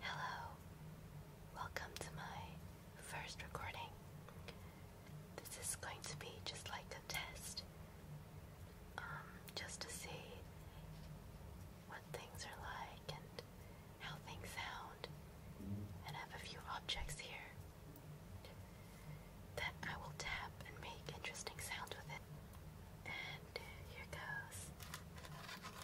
Hello, welcome to my first recording. This is going to be just like a test, um, just to see what things are like and how things sound. And have a few objects here that I will tap and make interesting sound with it. And here goes.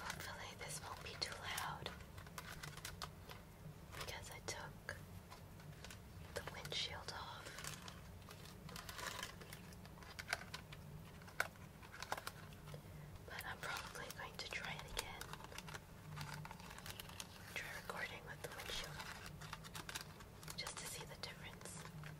Hopefully, this won't be too loud because I took the windshield off. But I'm probably going to try it again. Try recording with the windshield just to see the difference.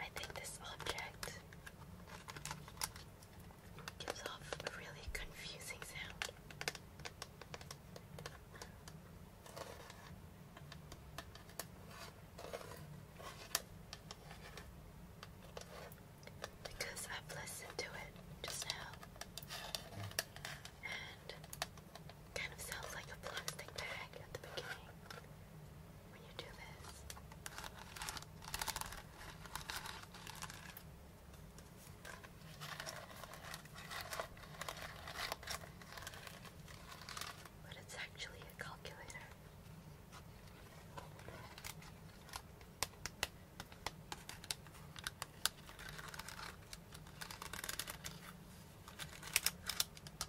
I think this object gives off a really confusing sound. Because I've listened to it just now, kind of sounds like a plastic bag at the beginning when you do this. But it's actually a calculator.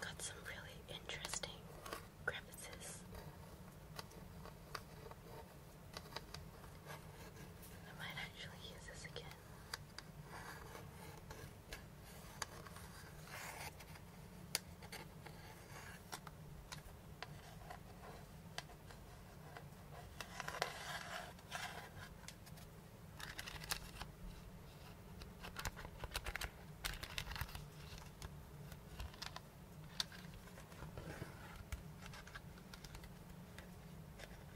Got some really interesting crevices. I might actually use this again. I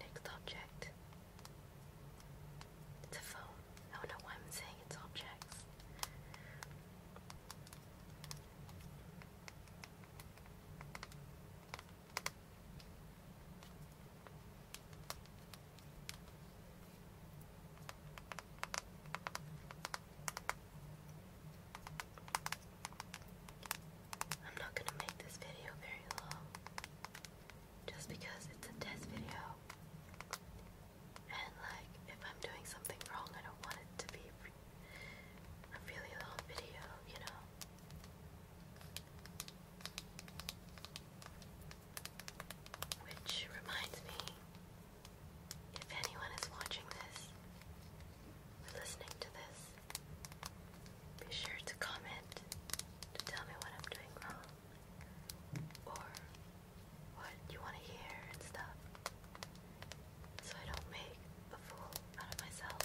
Next object. It's a phone. I don't know why I'm saying it's objects. I'm not going to make this video very long just because it's a test video. And like if I'm doing something wrong, I don't want it to be a really long video, you know. Which reminds me, if anyone is watching this listening to this, be sure to comment to tell me what I'm doing wrong or what you want to hear and stuff so I don't make a fool out of myself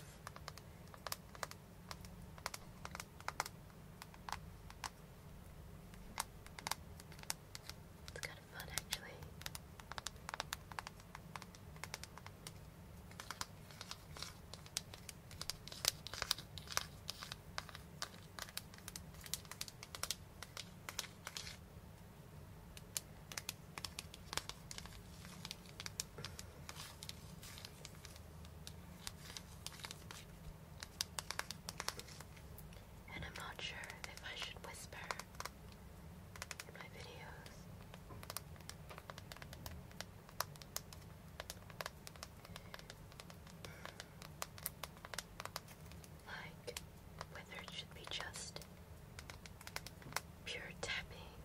it's kind of fun, actually. And I'm not sure if I should whisper in my videos. Like whether it should be just pure tapping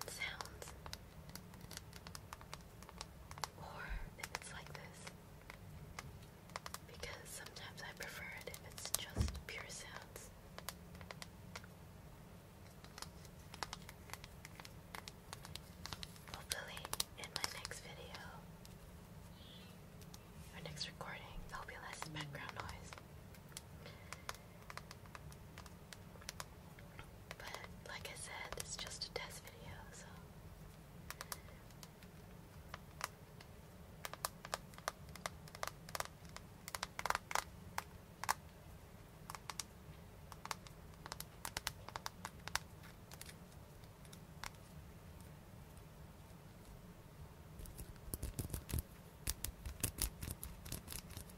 and sounds or if it's like this. Because sometimes I prefer it if it's just pure sounds. Hopefully, in my next video or next recording, there'll be less background noise. But like I said, it's just a test video, so.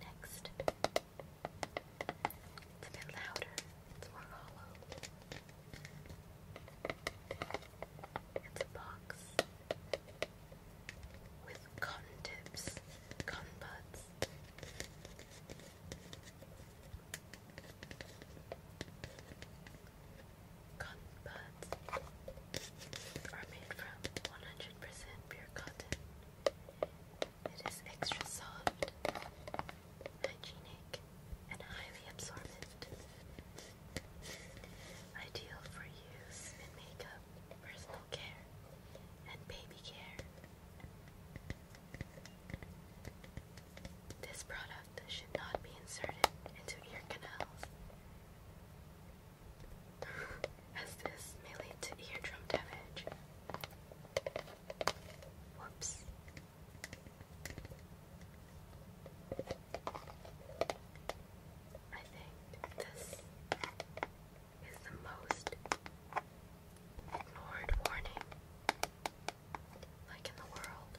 Next. It's a bit louder. It's more hollow. It's a box with cotton tips, cotton buds. Cotton buds are made from 100% pure cotton. It is extra soft, hygienic, and highly absorbent. Ideal for use in makeup, personal care, and baby care. This product should not be inserted into ear canals as this may lead to eardrum damage. Whoops. I think this is the most ignored warning, like in the world.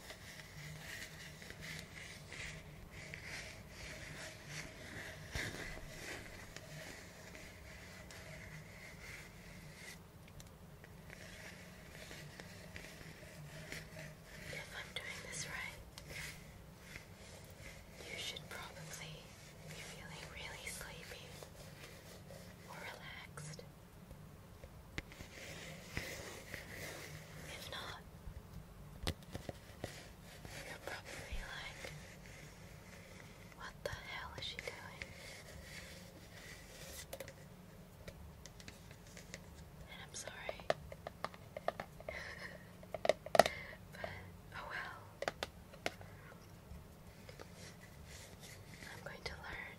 If I'm doing this right, you should probably be feeling really sleepy or relaxed. If not, you're probably like, what the hell is she doing? And I'm sorry. but, oh well. I'm going to learn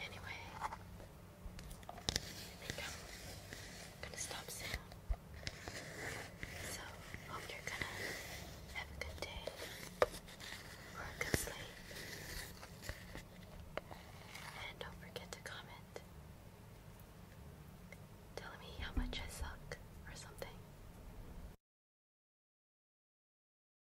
Anyway, I think i gonna stop saying. So, hope you're gonna have a good day or a good sleep. And don't forget to comment telling me how much I suck or something.